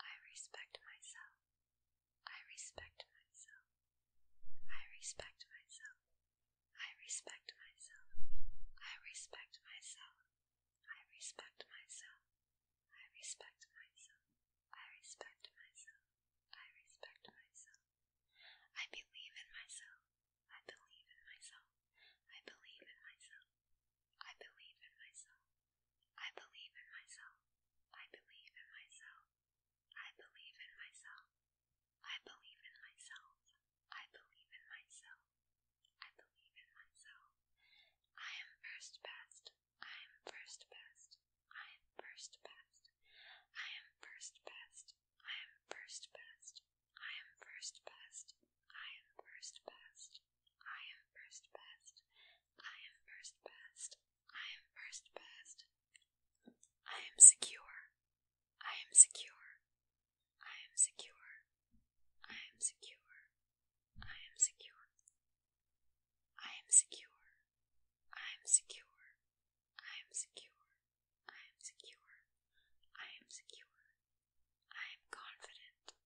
I respect myself. I respect myself. I respect myself. I respect myself. I respect myself. I respect myself. I respect myself. I respect myself. I respect myself. I believe in myself. I believe in myself. I believe in myself. I believe in myself. I believe in myself. I believe in myself. I believe in myself. I believe in myself. I believe in myself. I believe in myself. I am first best. I am first best. I am first best. I am first best. I am first best. I am first best. I am first best. I am first best. I am first best. I am first best. I am secure. I am secure. I am secure. I am secure. I am secure. I am secure. I am secure. I am secure. I am secure. I am secure. I am confident.